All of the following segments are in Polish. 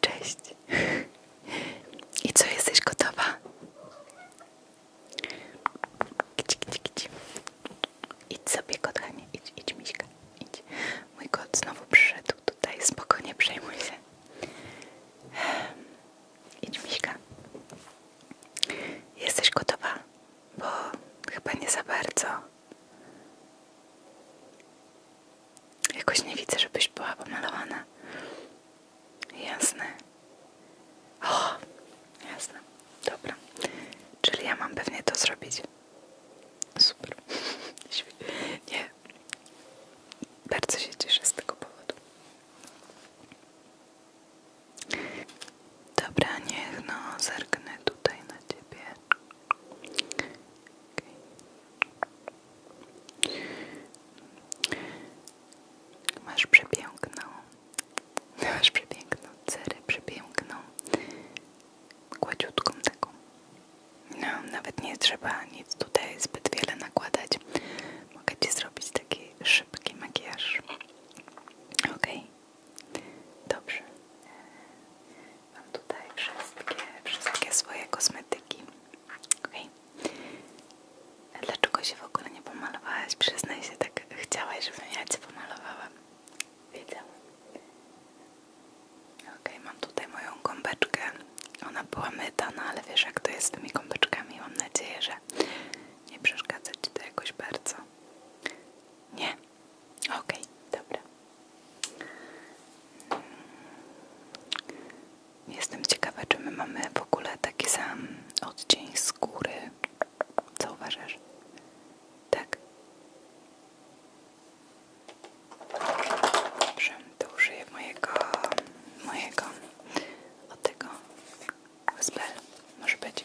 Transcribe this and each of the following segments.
Cześć. I co, jesteś gotowa? Idź, idź, idź. Idź sobie, kochanie. Idź, idź, miśka. Idź. Mój kot znowu przyszedł tutaj. Spokojnie, przejmuj się. Idź, miśka. Jesteś gotowa? Bo chyba nie za bardzo Jakoś nie widzę, żebyś była pomalowana. Jasne. O, jasne. Dobra. Czyli ja mam pewnie to zrobić. Super. Nie. Bardzo się cieszę z tego powodu. Dobra, niech no zerknę tutaj na ciebie. Okay. Masz przepiękną, masz przepiękną cerę, przepiękną, gładziutką taką. No, nawet nie trzeba nic tutaj zbyt wiele nakładać. Mogę Ci zrobić taki szybki makijaż. ok, Dobrze. Mam tutaj wszystkie, wszystkie swoje kosmetyki. Dlaczego się w ogóle nie pomalowałaś? Przyznaj się, tak chciałaś, żebym ja Cię pomalowała. Wiedziałam. Ok, mam tutaj moją gąbeczkę. Ona była myta, no ale wiesz jak to jest z tymi gąbeczkami. Mam nadzieję, że nie przeszkadza Ci to jakoś bardzo. Nie? OK, okay, mm, Jestem ciekawa, czy my mamy w ogóle taki sam odcień skóry. Co uważasz? Tak? Dobrze, to użyję mojego, mojego, od tego spell, może być.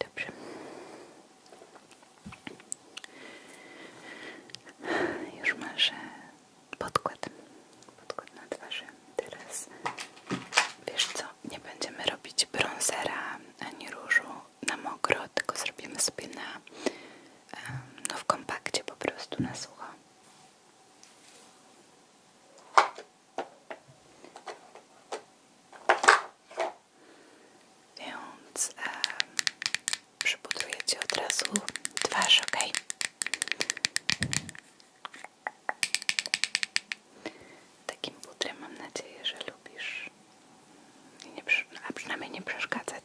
Dobrze. Już masz podkład. Podkład na twarzy. Teraz wiesz co? Nie będziemy robić brązera ani różu na mokro, tylko zrobimy sobie na no w kompakcie po prostu na sucho. Więc e, przypudruję Ci od razu twarz, ok? Takim butrem, mam nadzieję, że lubisz. Nie, a przynajmniej nie przeszkadzać.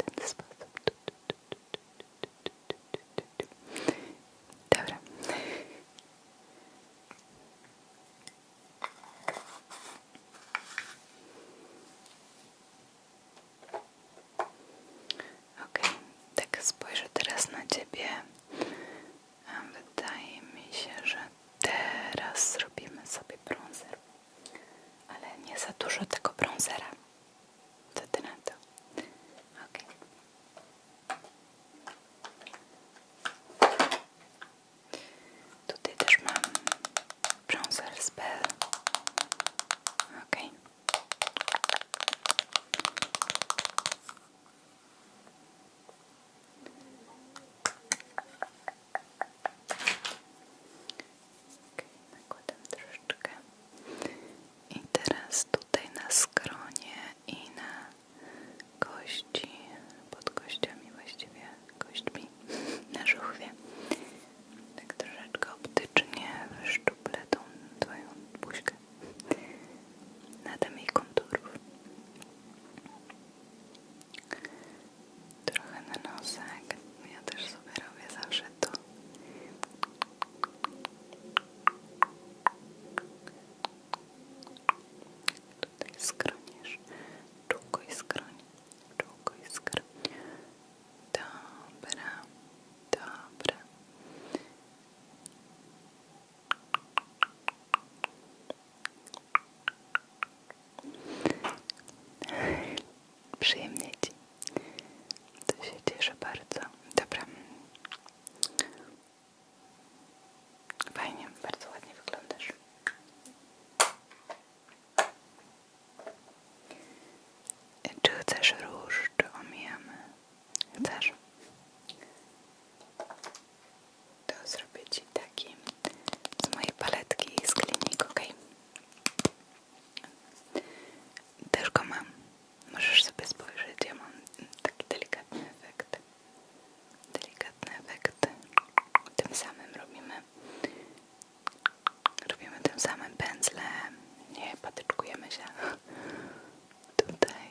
w ten sposób. Dobra. Okej, tak spojrzę teraz na ciebie. Wydaje mi się, że teraz zrobimy sobie bronzer ale nie za dużo tego brązera. Co ty na to? Tutaj też mam brązer z Bell. Okay. Okay, nakładam troszeczkę. I teraz tutaj na skronie i na kości, pod kościami właściwie, kośćmi, na żuchwie. Tak troszeczkę optycznie wyszczuplę tą twoją buźkę. Nadam jej konturów trochę na nosek. Ja też sobie robię zawsze to. Tutaj skronisz, czółko i skroń, Dobra, dobra. Przyjemnie ci. To się cieszę bardzo. Dobra. Fajnie, bardzo ładnie wyglądasz. Czy chcesz róż, czy omijamy? Chcesz? to zrobię Ci taki z mojej paletki z klinik, ok? Też go mam. Możesz sobie spojrzeć, ja mam taki delikatny efekt. Delikatny efekt. Tym samym robimy robimy tym samym pędzlem. Nie, patyczkujemy się. Tutaj.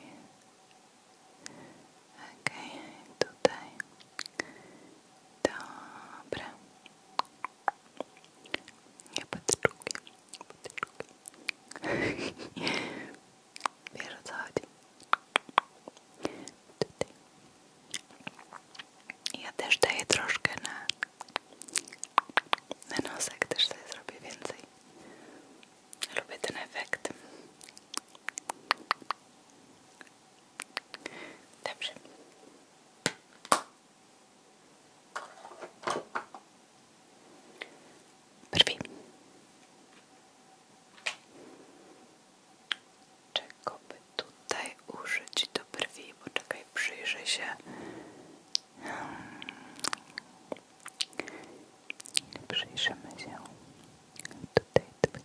OK, okay, tutaj. Dobra. Ja patrzułki, patrzułki. Wiesz co chodzi. Tutaj. Ja też daję troszkę na, na nosek, też sobie zrobię więcej. Lubię ten efekt. Dobrze. Brwi. Czego by tutaj użyć do brwi? Poczekaj, przyjrzę się. Hmm. Przyjrzymy się tutaj. tutaj.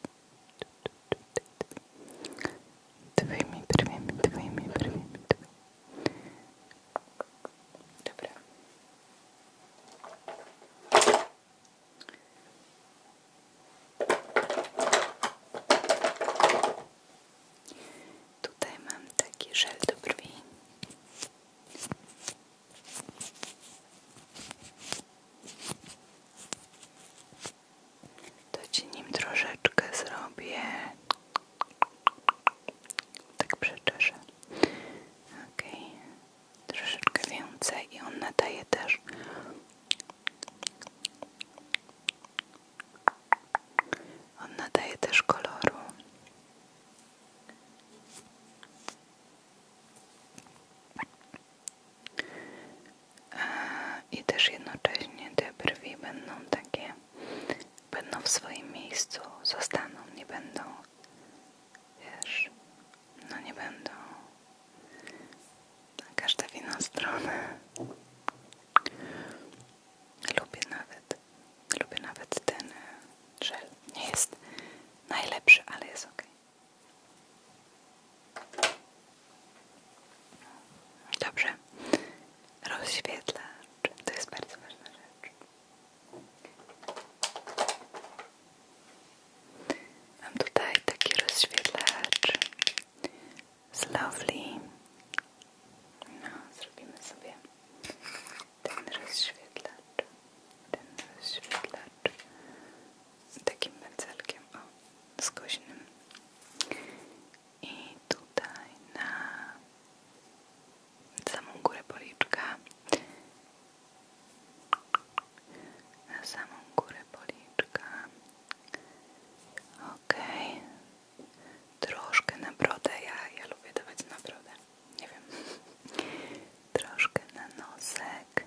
Twoimi brwiami, twoimi brwiami, Dobra. Tutaj mam taki żel do to ci nim troszeczkę zrobię. Tak przeczeszę. Okej. Okay. Troszeczkę więcej i on nadaje też on nadaje też koloru i też jednocześnie te brwi będą takie, będą w swoim miejscu, zostaną, nie będą, wiesz, no nie będą na każdej w inną stronę. Lubię nawet, lubię nawet ten żel. Nie jest najlepszy, ale jest ok. Dobrze. Rozświetlacz. To jest bardzo ważna rzecz. Mam tutaj taki rozświetlacz z Lovely. No, zrobimy sobie ten rozświetlacz ten rozświetlacz takim pędzelkiem, o, skośnym i tutaj na samą górę policzka na samą górę policzka okej troszkę na brodę ja, ja lubię dawać na brodę nie wiem troszkę na nosek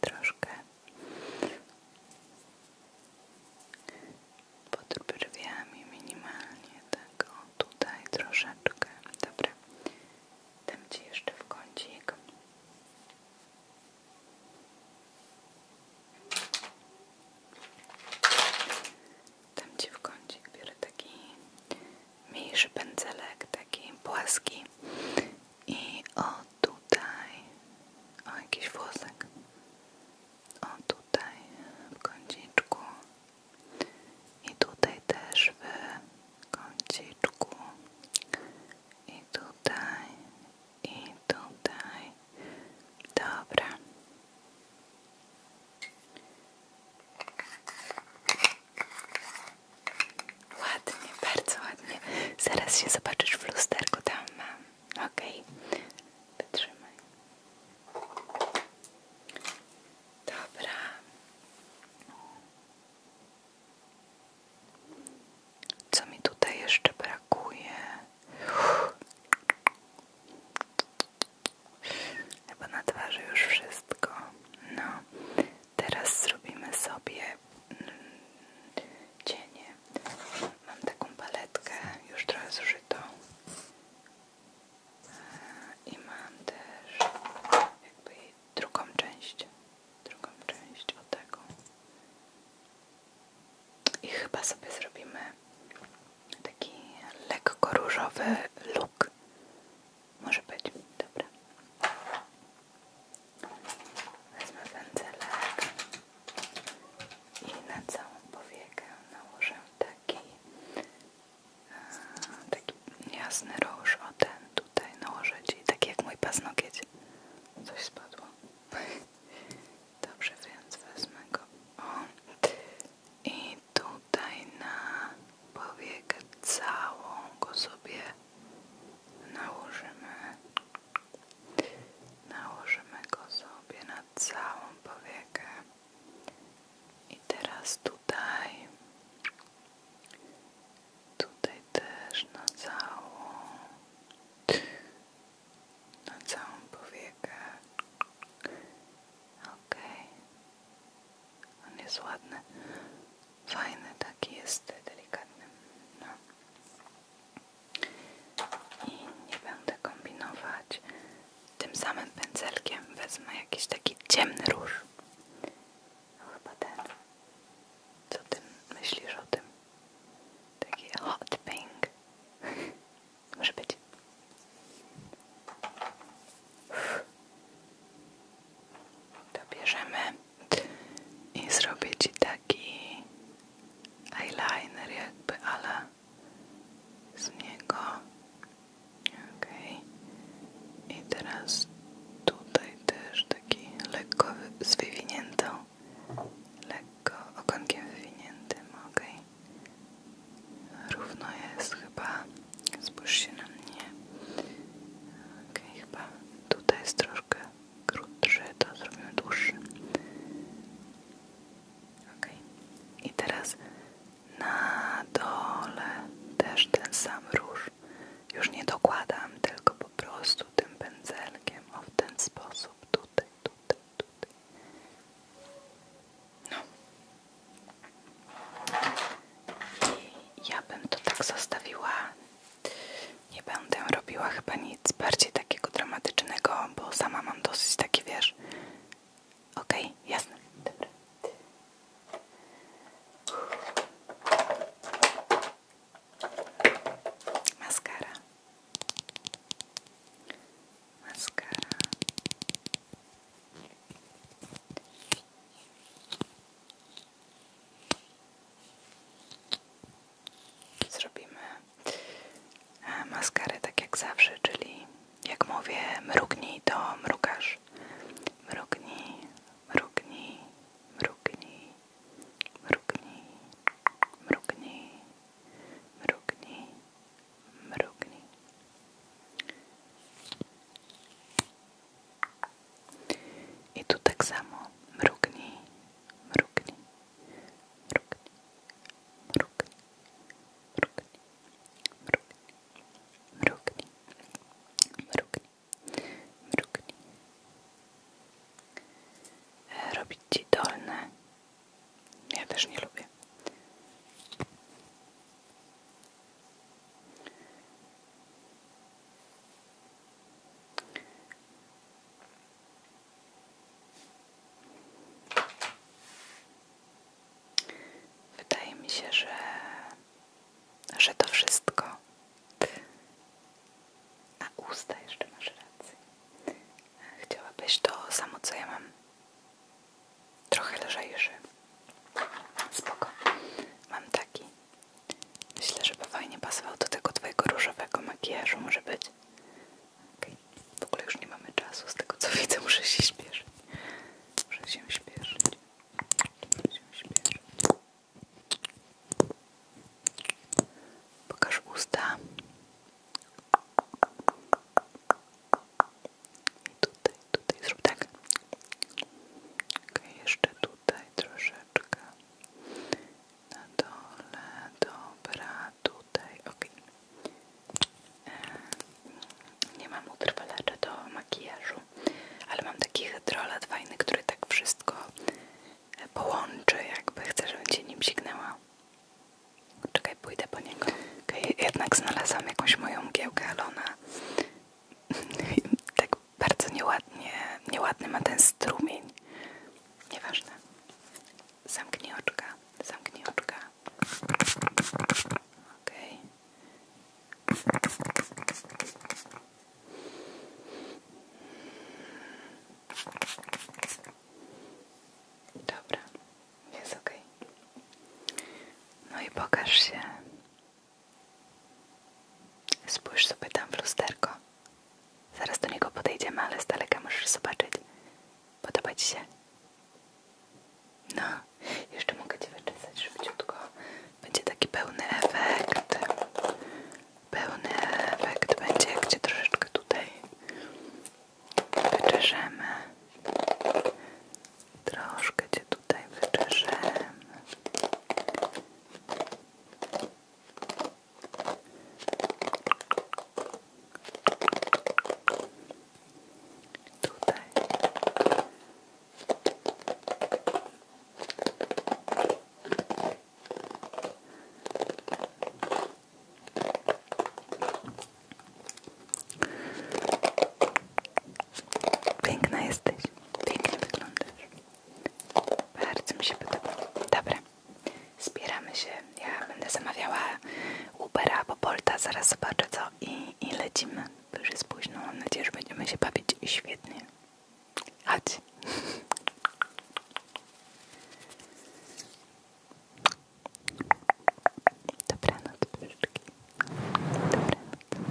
troszkę pod brwiami minimalnie tak o, tutaj troszeczkę dobra dam Ci jeszcze w kącik dam Ci w kącik biorę taki mniejszy pędzelek, taki płaski i o tutaj, o jakiś włosek, o tutaj w kąciczku i tutaj też w kąciczku i tutaj i tutaj, dobra Ładnie, bardzo ładnie. Zaraz się zobaczysz w lusterku, tam mam. ok wytrzymaj. Dobra. Co mi tutaj jeszcze brakuje? Chyba na twarzy już wszystko. No, Teraz zrobimy sobie mm, cienie. Mam taką paletkę, już trochę zużytą. E, I mam też jakby drugą część. Drugą część od tego. I chyba sobie zrobimy taki lekko różowy look może być, dobra. Wezmę pędzelek i na całą powiekę nałożę taki e, taki jasny róż, o ten tutaj nałożę, i tak jak mój paznokieć. Coś spadło. Dobrze, więc wezmę go. I tutaj na powiekę całą go sobie nałożymy nałożymy go sobie na całą powiekę i teraz tutaj tutaj też na całą na całą powiekę ok, on jest ładny, fajny, taki jest delikatny. No. I nie będę kombinować. Tym samym pędzelkiem wezmę jakiś taki ciemny róż. No chyba ten. Co ty myślisz o tym? Taki hot pink. Może być to i zrobię Ci taki eyeliner jakby, ale z niego okej i teraz tutaj też taki lekko z wywiniętą lekko ogonkiem wywiniętym, okej równo jest chyba Spójrz na mnie. chyba tutaj jest troszkę krótszy, to zrobimy dłuższy. Ok, i teraz na dole też ten sam róż. Już nie dokładam, tylko po prostu tym pędzelkiem, o w ten sposób, tutaj, tutaj, tutaj. No, i ja bym to tak zostawiła. Nie będę robiła chyba nic bardziej takiego dramatycznego, bo sama mam dosyć taki wiesz. Okej, jasne. Dobra. Maskara. Maskara. Zrobimy e, maskarę tak jak zawsze, czyli jak mówię mrugnij, to mrukasz. Mrugnij, mrugnij, mrugnij, mrugnij, mrugnij, mrugnij, mrugnij. I tu tak samo mrugnij, mrugnij, mrugnij, mrugnij, mrugnij, mrugnij, mrugnij, mrugnij, mrugnij. Robić ci dolne. Ja też nie lubię. Wydaje mi się, że, że to wszystko. A usta jeszcze masz rację. Chciałabyś to samo, co ja mam trochę lżejszy. Spoko. Mam taki. Myślę, że by fajnie pasował do tego twojego różowego makijażu. Może być. Okay. W ogóle już nie mamy czasu. Z tego co widzę, Muszę się śpieszyć. Muszę się śpieszyć. Pokaż usta tutaj, tutaj zrób tak. jeszcze tutaj troszeczkę. Na dole, dobra, tutaj, ok. E, nie mam utrwalacza do makijażu, ale mam taki hydrolat fajny, który tak wszystko e, połączy, jakby chcę, żeby cię nim signęła. Czekaj, pójdę po niego. Okay, jednak znalazłam jakąś moją mgiełkę, ale ona tak bardzo nieładnie, nieładny ma ten strumień. Nieważne. Zamknij oczka, zamknij oczka. Okej. Dobra. Jest ok. No i pokaż się. Spójrz sobie tam w lusterko. Zaraz do niego podejdziemy, ale z daleka możesz zobaczyć. Podoba ci się? No, jeszcze mogę ci wyczesać szybciutko. Będzie taki pełny efekt. Pełny efekt będzie, gdzie troszeczkę tutaj wyczeszemy. Troszkę Cię tutaj wyczeszemy. Tutaj. Piękna jesteś. Pięknie wyglądasz. Bardzo mi się podoba. Dobra. Zbieramy się. Ja będę zamawiała Ubera albo Bolta. Zaraz zobaczę co i, i lecimy. Bo już jest późno. Mam nadzieję, że będziemy się bawić świetnie. Chodź. Dobranoc, puszczki.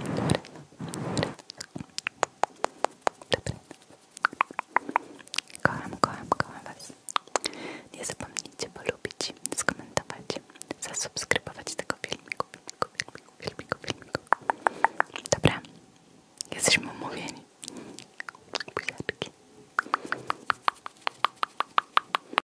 Dobranoc, dobranoc, dobranoc. Dobranoc. Kocham, kocham, kocham Was. Nie zapomnijcie polubić, skomentować, zasubskrybować tego filmiku, filmiku, filmiku, filmiku, filmiku. Dobra, jesteśmy umówieni. Buziaczki.